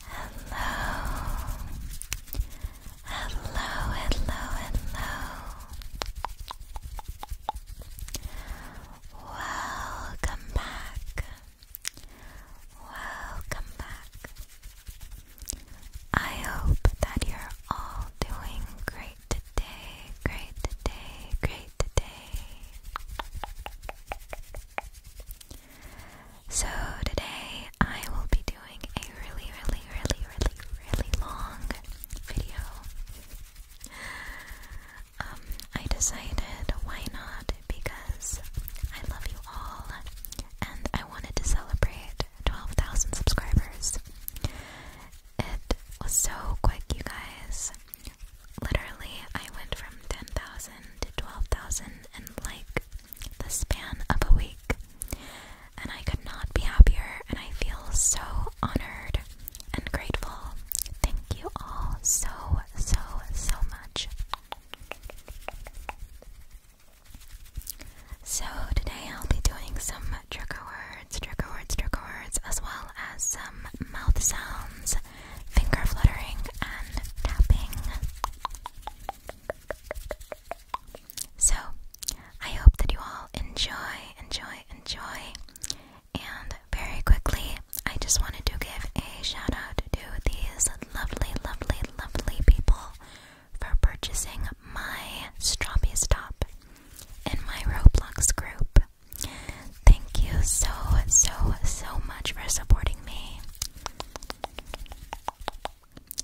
Hello, hello, hello, hello. Welcome back. Welcome back. I hope that you're all doing great today, great today, great today. So, today I will be doing a really, really, really, really, really long video. Um, I decided why not because I love you all and I wanted to celebrate 12,000 subscribers. It was so quick, you guys. Literally, I went from 10,000 to 12,000 in like the span of a week. And I could not be happier, and I feel so honored and grateful. Thank you all so, so, so much. So today I'll be doing some trigger words, trigger words, trigger words, as well as some mouth sounds, finger fluttering, and tapping. So I hope that you all enjoy, enjoy, enjoy. And very quickly, I just wanted to give a shout out to these lovely, lovely, lovely people for purchasing my Strawbees top in my Roblox group. Thank you so, so, so much for supporting me.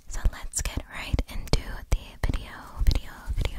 So let's get right into the video, video, video.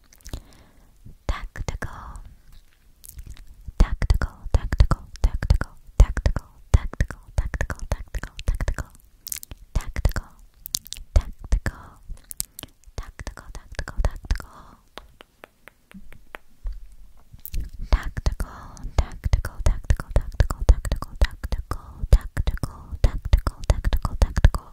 tactical tactical tactical tactical tactical tactical tactical tactical tactical tactical tactical tactical tactical tactical Tactical, tactical, tactical, tactical, tactical, tactical, tactical, tactical, tactical, tactical,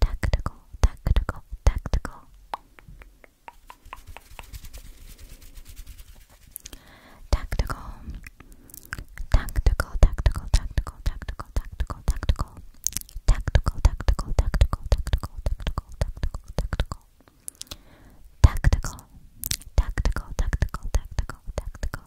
tactical, tactical, tactical, tactical. Tactical, tactical, tactical, tactical, tactical, tactical, tactical, tactical, tactical, tactical, tactical, tactical, tactical, tactical. Tactical, tactical, tactical, tactical, tactical,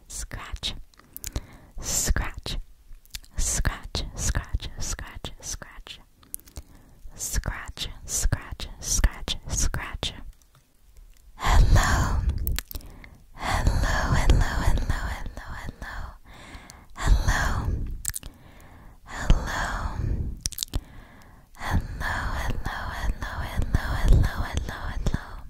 scratch, scratch, scratch, scratch, scratch, scratch, scratch, scratch, scratch, scratch. Hello, hello, hello, hello, hello, hello, hello, hello, hello, hello, hello, hello, hello, hello, hello.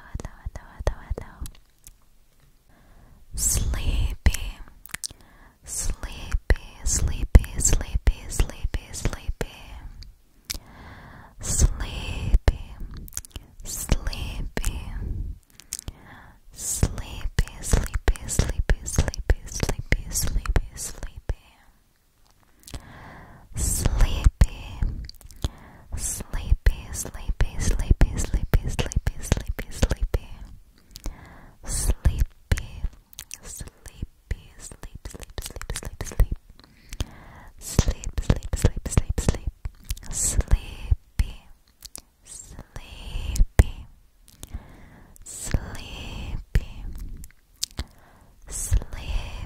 hello, hello, hello, hello. Sleepy, sleepy, sleepy, sleepy, sleepy, sleepy. Sleepy, sleepy. Sleepy, sleepy, sleepy, sleepy, sleepy, sleepy, sleepy. Sleepy, sleepy, sleepy, sleepy, sleepy, sleepy, sleepy, sleepy, sleepy, sleepy, sleep, sleep, sleep, sleep, sleep, sleep, sleep, sleep, sleep, sleep, sleepy, sleepy, sleepy, sleepy.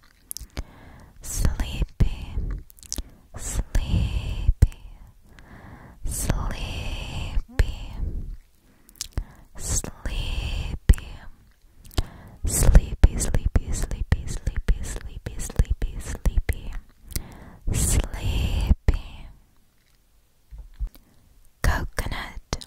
sleepy, sleepy, sleepy, sleepy, sleepy, sleepy, sleepy, sleepy, sleepy, sleepy, sleepy, sleepy. Coconut,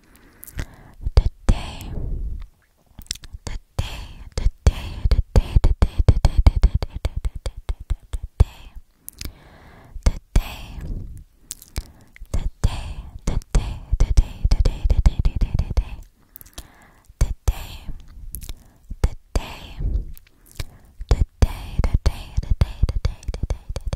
Today, today, today, today, today, today, today, today, today, today, today, today, today, today, today, today. Today, today, today, today, today, today, today, today,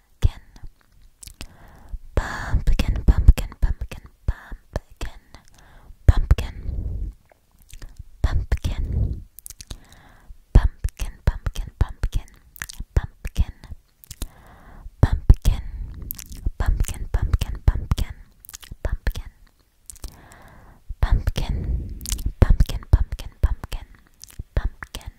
pumpkin. Pumpkin, pumpkin, pumpkin, pumpkin, pumpkin, pumpkin, pumpkin, pumpkin, pumpkin, pumpkin, pumpkin, pumpkin, pumpkin, pumpkin, pumpkin. Pumpkin, pumpkin, pumpkin, pumpkin, pumpkin,